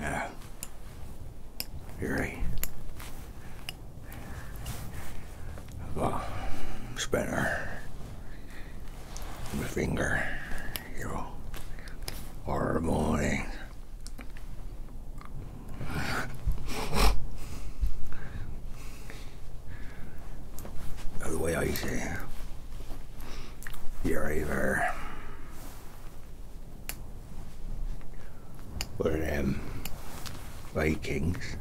Yeah. You're right. Well, spinner, the finger, you know, or morning. the way I say, you're either were um, Vikings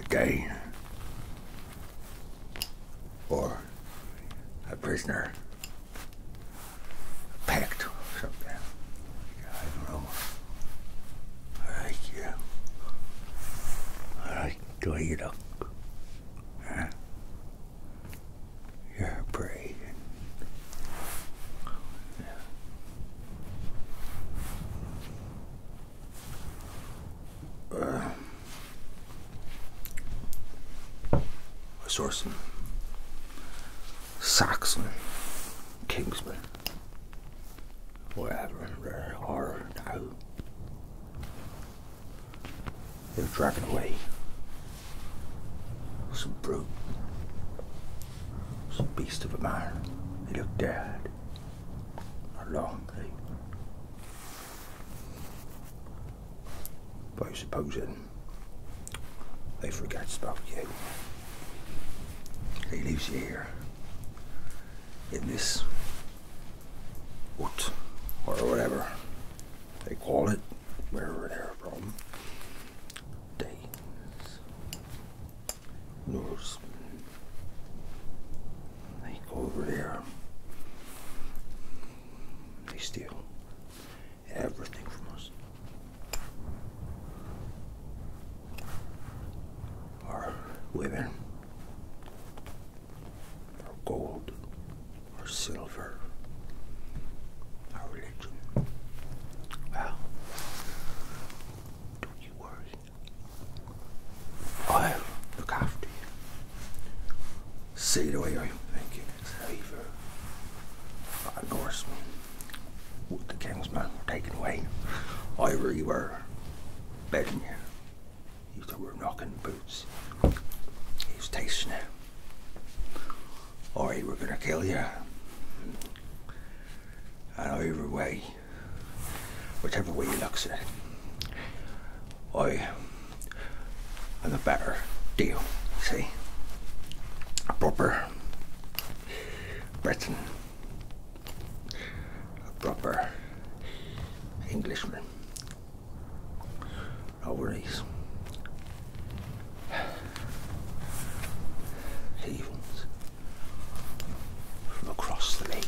again, or a prisoner, packed pact something. I don't know. All right, yeah. All right, do I eat up? You're brave. Yeah. Uh, Sorson, Saxon, Kingsman, whatever there are now. They're dragging away some brute. Some beast of a man. He looked dead. Not long, he. But I suppose then they forget about you. They leave you here. In this what or whatever they call it wherever they're from. Danes, Norsemen, they go over there. They steal everything from us. Our women, our gold, our silver our religion. Well, don't you worry. I'll look after you. See the way I'm thinking it's either a Norseman with the king's men were taken away, I you were begging you, you were knocking boots, He's was tasting it or he were going to kill you. And either way, whichever way he looks at it, I am the better deal, see? A proper Briton, a proper Englishman. No worries. Havens from across the lake.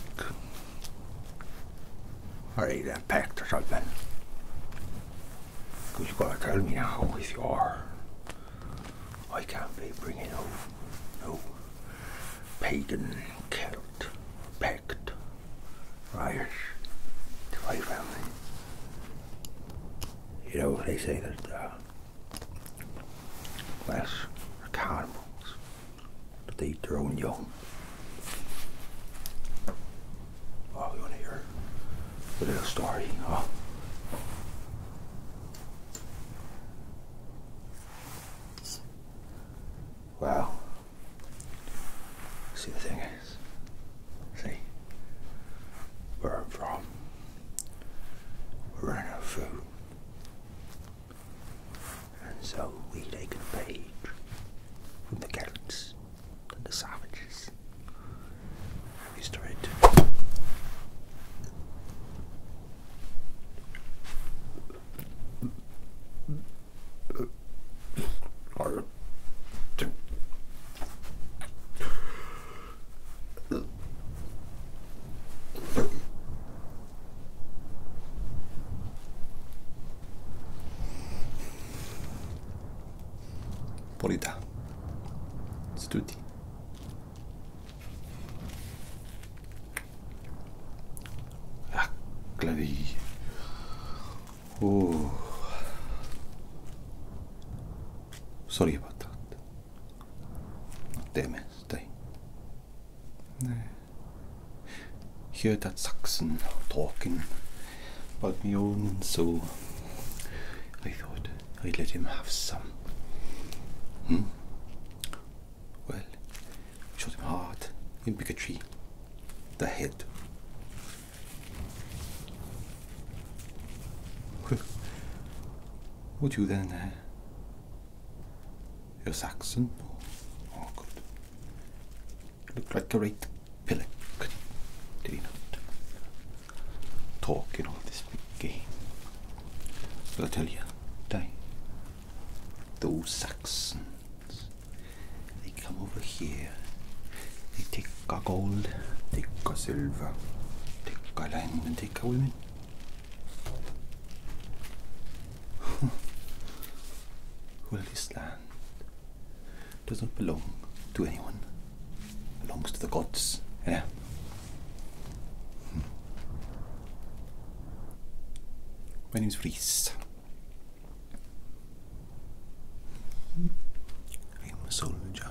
Are either that packed or something? Because you've got to tell me now if you are. I can't be bringing no, no pagan Celt packed riot to family. You know, they say that uh, less carnivals, that they eat their own young. Oh, you want to hear a little story, huh? Well, see the thing See? Where I'm from. We ran out of And so we take a page from the Celts and the savages. We started to pour l'état C'est tout dit. Ah, clavier Oh. Sorry about that. Damn it, stay. Hear that Saxon talking about me own, and so I thought I'd let him have some. Hmm? Well, shot him hard in bigotry, the head, what are you then? there? You're Saxon? Oh, oh good. look like a great pillock. Do you not? Talking all this big game. But I tell you, die. Those Saxons, they come over here, they take Ticker gold, ticker silver, Take ticker land, and ticker women. well, this land doesn't belong to anyone. It belongs to the gods. Yeah. Hmm. My is Reese. I'm a soldier.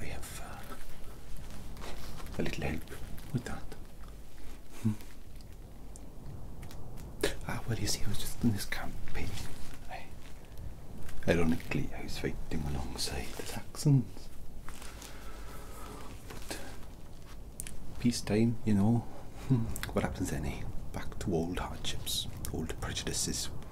I have uh, a little help with that. Hmm. Ah, well, you see, I was just in this campaign. I, ironically, I was fighting alongside the Saxons. But uh, time, you know, hmm. what happens then? Eh? Back to old hardships, old prejudices,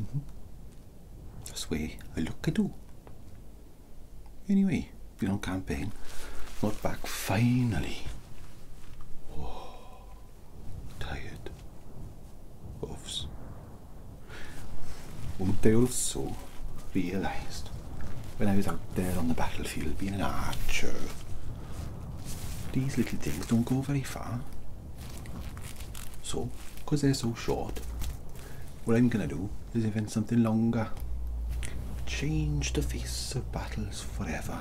Mm -hmm. That's way I look I do. Anyway, been on campaign. Not back finally. Oh, tired. Offs. And I also realised when I was out there on the battlefield being an archer, these little things don't go very far. So, because they're so short, what I'm going to do is invent something longer. Change the face of battles forever.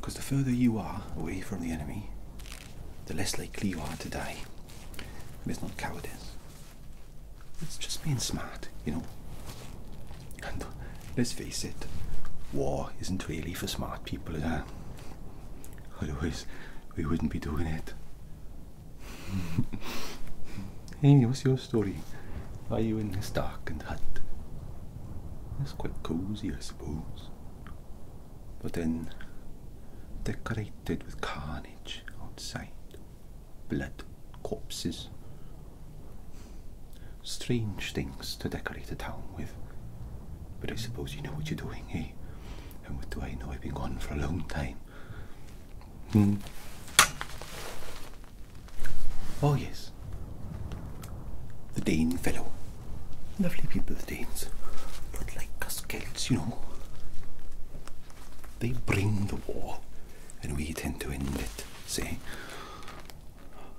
Because the further you are away from the enemy, the less likely you are to die. it's not cowardice. It's just being smart, you know. And let's face it, war isn't really for smart people, is it? Otherwise, we wouldn't be doing it. anyway, what's your story? are you in this darkened hut? It's quite cozy, I suppose. But then, decorated with carnage outside, blood, corpses. Strange things to decorate a town with. But I suppose you know what you're doing, eh? And what do I know? I've been gone for a long time. Hmm. Oh, yes. The Dane fellow. Lovely people, the Danes. Not like us Celts, you know. They bring the war, and we tend to end it, see?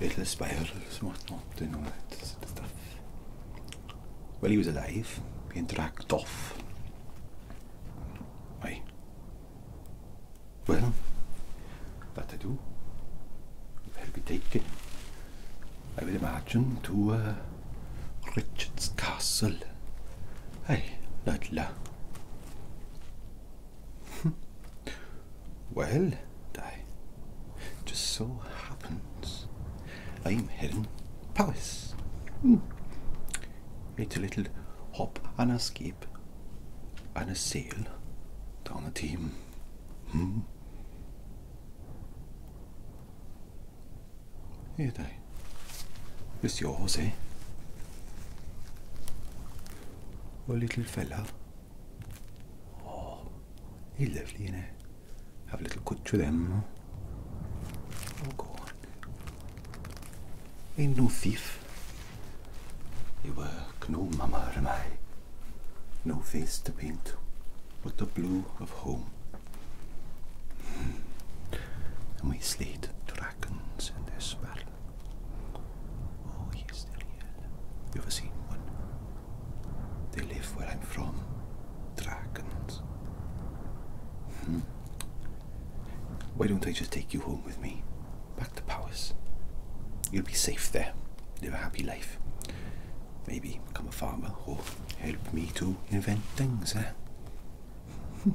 little spirals, whatnot, you know that sort of stuff. Well, he was alive, being dragged off. Aye. Well, that I do. Where we take it? I would imagine to uh, Richard's castle. Aye, Ludlow. Well, I just so happens I'm heading palace. Hmm. It's a little hop and a skip and a sail down the team. Hmm? Here, Di. It's yours, eh? A little fella. Oh, he lovely, you know. Have a little cut to them. Oh, go on. Ain't no thief. You work no mama am I. No face to paint, with the blue of home. Hmm. And we slay dragons in this valley wondering. Oh, he's still here. You ever seen one? They live where I'm from. Dragons. Hmm. Why don't I just take you home with me? Back to Powers. You'll be safe there. Live a happy life. Maybe become a farmer or help me to invent things, eh?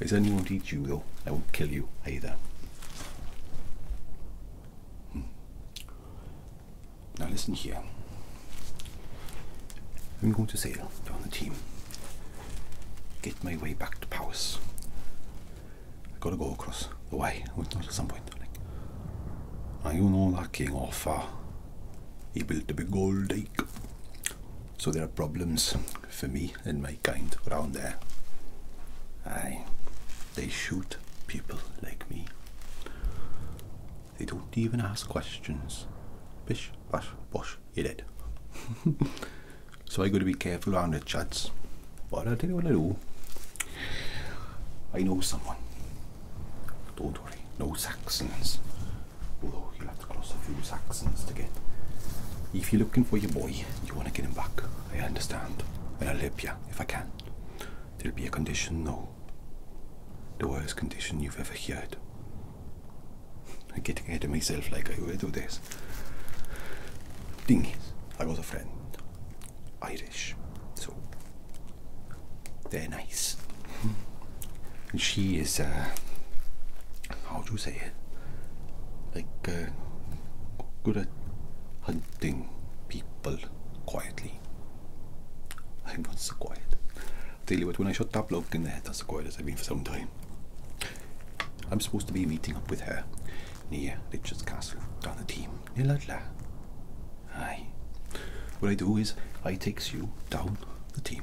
It's only won't eat you though. I won't kill you either. Hmm. Now listen here. I'm going to sail down the team. Get my way back to Paris. I gotta go across the way. Well, not at some point. I know that King Offa. He built a big gold lake. So there are problems for me and my kind around there. Aye, they shoot people like me. They don't even ask questions. Bish, bosh, bosh, you're dead. so I got to be careful around the chads. But i tell you what I do. I know someone. Don't worry, no Saxons although you'll have to cross a few Saxons to get. If you're looking for your boy, you want to get him back. I understand, and I'll help you if I can. There'll be a condition, though. The worst condition you've ever heard. I'm getting ahead of myself like I always do this. Thing is, I got a friend. Irish. So, they're nice. and she is, uh, How'd you say it? Like uh, good at hunting people quietly I'm not so quiet tell you what when I shot that bloke in the head that's the quietest I've been for some time I'm supposed to be meeting up with her near Richard's castle down the team near Ludlow aye what I do is I takes you down the team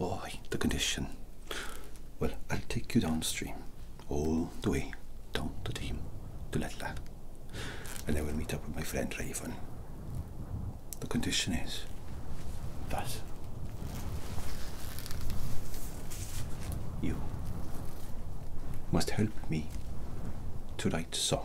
Aye, the condition. Well, I'll take you downstream, all the way down the team to Letla. And then we will meet up with my friend Raven. The condition is that you must help me to write songs.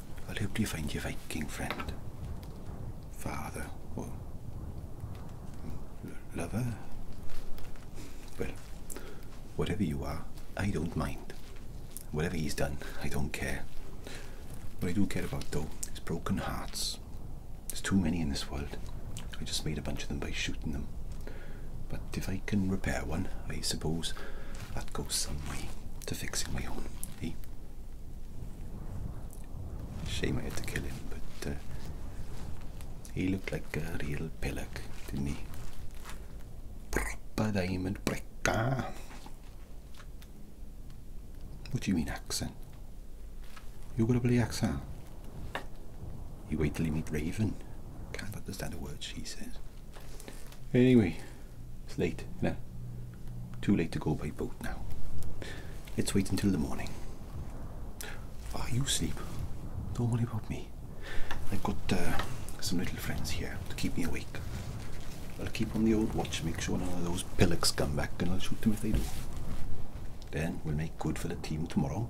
I'll help you find your Viking friend. Father or lover. Well, whatever you are, I don't mind. Whatever he's done, I don't care. What I do care about, though, is broken hearts. There's too many in this world. I just made a bunch of them by shooting them. But if I can repair one, I suppose that goes some way to fixing my own. Hey. Eh? Shame I had to kill him, but uh, he looked like a real pillock, to me. he? diamond brick. What do you mean accent? You gotta play accent. You wait till you meet Raven. Can't understand a word she says. Anyway, it's late, you Too late to go by boat now. Let's wait until the morning. Ah, you sleep. Don't worry about me. I've got uh, some little friends here to keep me awake. I'll keep on the old watch, make sure none of those pillocks come back, and I'll shoot them if they do. Then we'll make good for the team tomorrow,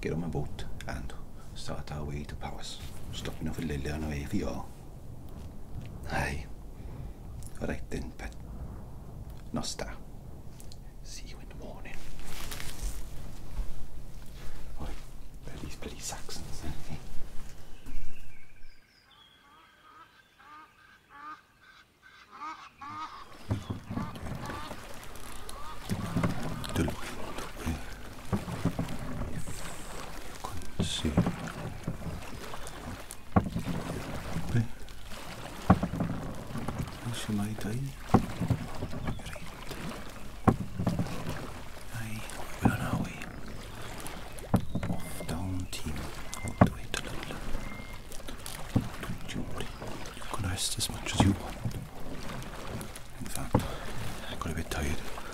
get on my boat, and start our way to Paris, Stopping off at Lille on our way for Aye. Alright then, but Nosta. See you in the morning. these bloody Saxons, eh? you consider be. What's your light eye? Aye, we're on our way. Off Little. you can rest as much as you want. In I got a bit tired.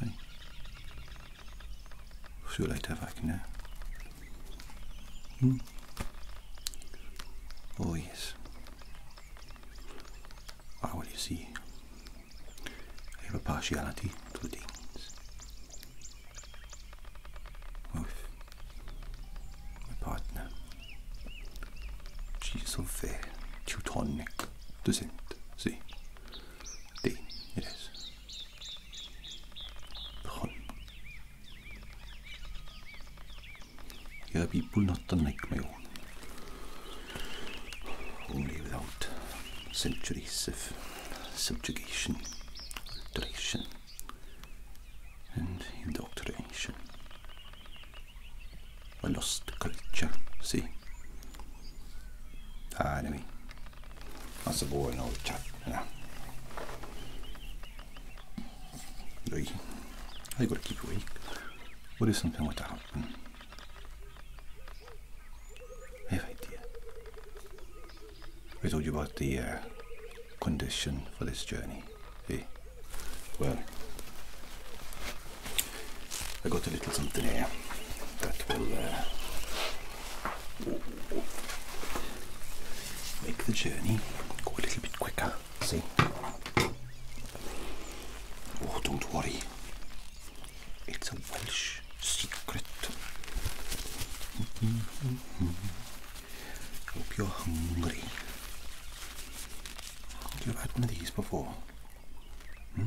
Hey. We'll later if I can now. Oh yes. Ah, will you see, I have a partiality to the Danes. With my partner, she's of Teutonic doesn't see. Dean, it is. Begon. Yeah, people not unlike my own. Only without centuries of subjugation, alteration, and indoctrination a lost culture, see? Ah, anyway, that's a boring old chap, yeah. Right, I gotta keep awake. What if something were to happen? I have idea. I told you about the condition for this journey, eh? Well, I got a little something here that will make the journey go a little bit quicker. See? Oh, don't worry. It's a Welsh secret. Mm-hmm. Hope you're hungry. You've had one of these before. Hmm?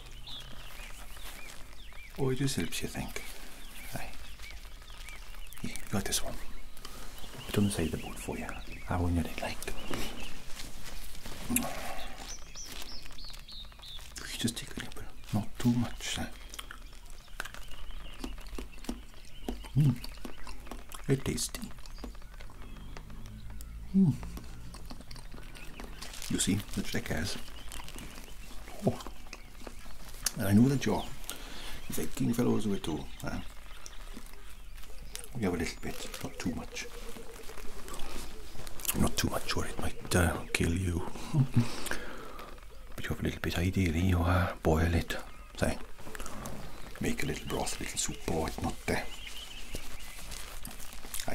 Oh, it just helps you think. Aye. you got this one. I on the side of the boat for you. I want your like. You just take a little not too much. Eh? Mm. Very tasty. Hmm. You see, the jackass. Oh. And I know that you're. your thinking fellows were too. Huh? We have a little bit, not too much. Not too much, or it might uh, kill you. but you have a little bit, ideally, eh? you uh, boil it. Say, make a little broth, a little soup, oh, not whatnot. Uh,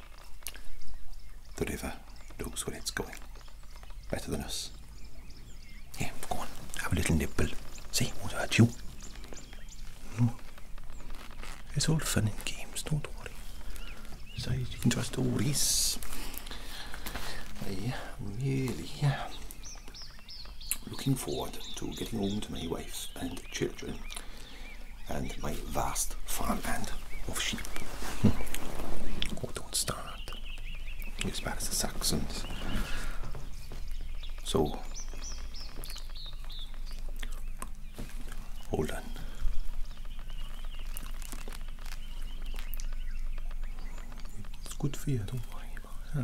The river knows where it's going. Better than us. Here, go on. Have a little nibble. See, what about you. No. It's all fun and games, don't worry. Besides, you can trust stories. I am merely looking forward to getting home to my wife and children and my vast farmland. of sheep. Or don't start. As bad as the Saxons. So, hold on. It's good for you, don't worry about it. Huh?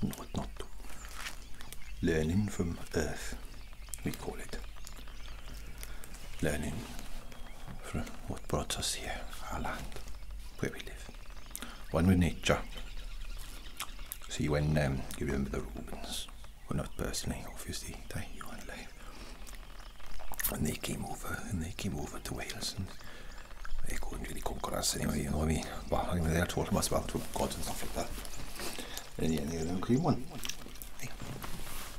and what not to. Learning from Earth, we call it. Learning from what brought us here, our land, where we live. One with nature. See, when um, you remember the Romans, well, not personally, obviously, they you and life. And they came over, and they came over to Wales, and they couldn't really conquer us anyway, you know what I mean? But I mean, they're told us about gods and stuff like that. And the other green one.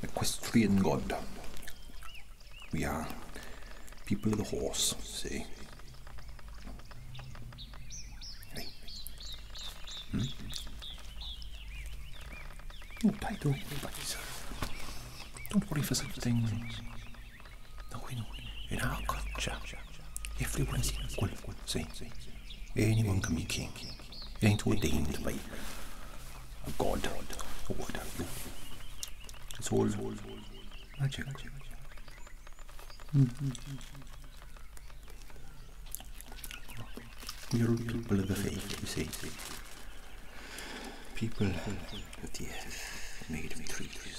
Equestrian god. We are people of the horse, see. Hmm? Oh, Don't worry for such things. No, in, in our culture. Everyone is equal, see? Anyone can be king. Ain't ordained by a god or what have you. It's all magic. Mm -hmm. We're people of the faith, you see. People of the earth made me trees.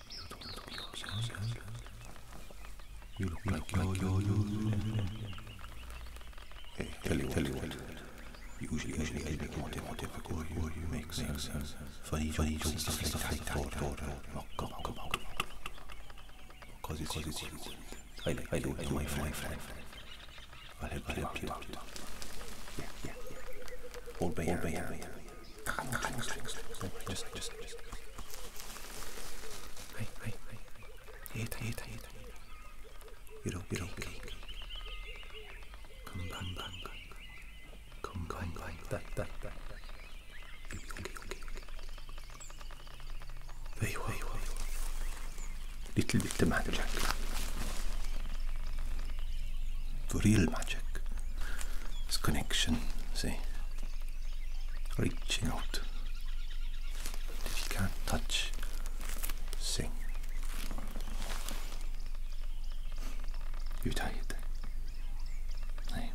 You look like you're losing. Hey, tell you, tell you what. Usually, usually, I make more difficult. You make sense. Funny, funny jokes, stuff like that. Come, come, come, come. Because it's you. I like, I do it to my friend. I'll help you out. Yeah, yeah, yeah. Hold my hand. Hold my hand. Just, just just just Hey, hey, hey, hey. Eat, eat, eat, eat. You don't, bang, bang, bang. bang, bang. That, that, that. Okay, okay, okay. There you are, there you are. Little bit of magic. The real magic is connection, see? reaching out. If you can't touch, sing. You tired? Aye.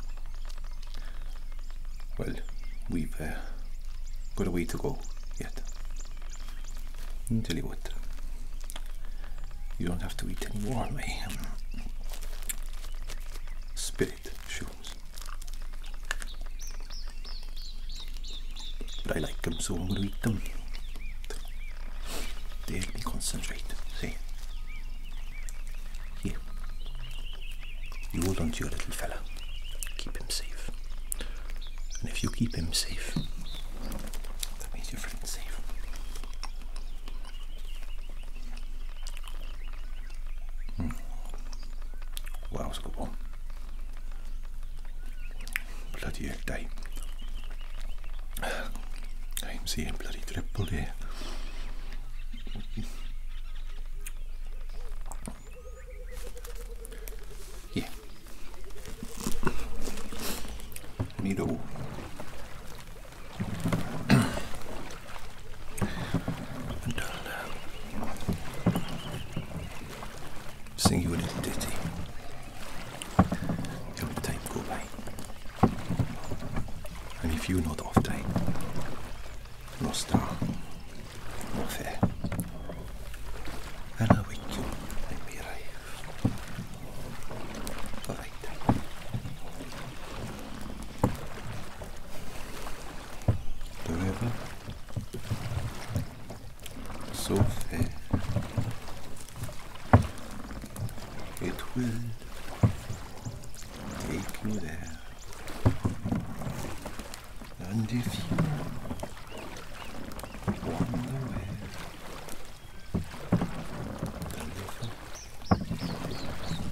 Well, we've uh, got a way to go yet. tell you what, you don't have to eat anymore, my um, spirit but I like them, so I'm going to eat them. There, help me concentrate. See? Here. You hold on to your little fella. Keep him safe. And if you keep him safe, that means your friend's safe. Mm. good one. Bloody heck, day. I'm seeing bloody triple here. yeah. Needle. Sing you a little ditty. Till the time go by. And if you're not off time, no star, no fair. And I wake you when we arrive. Alright the river so fair it will take you there and if you wander away the river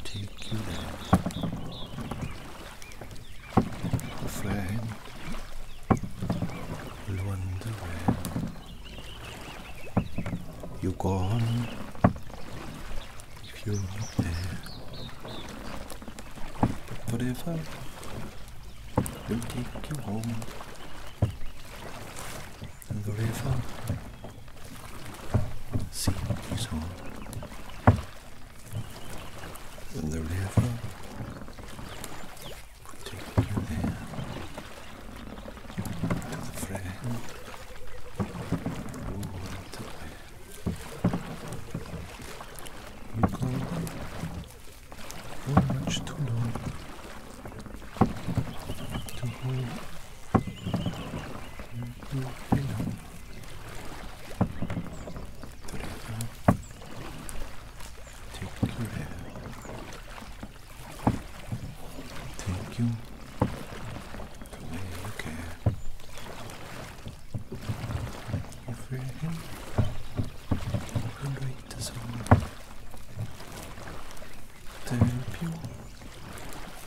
take you there. A friend you're gone if you're not there. Whatever will take you home. And the river See he's home. And the river would take you there to friend You called him for much too long to hold you belong. Take you there. Take you to you You free him? And to someone. To you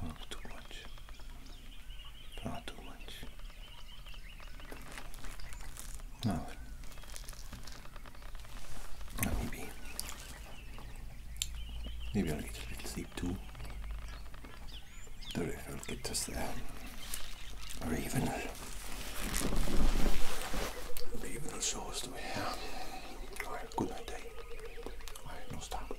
Oh, too much. Far too much. No. Maybe. Maybe I'll get a little sleep too. The river will get us there. Or even, even will show us the way. Alright, good night, day. Alright, no stop.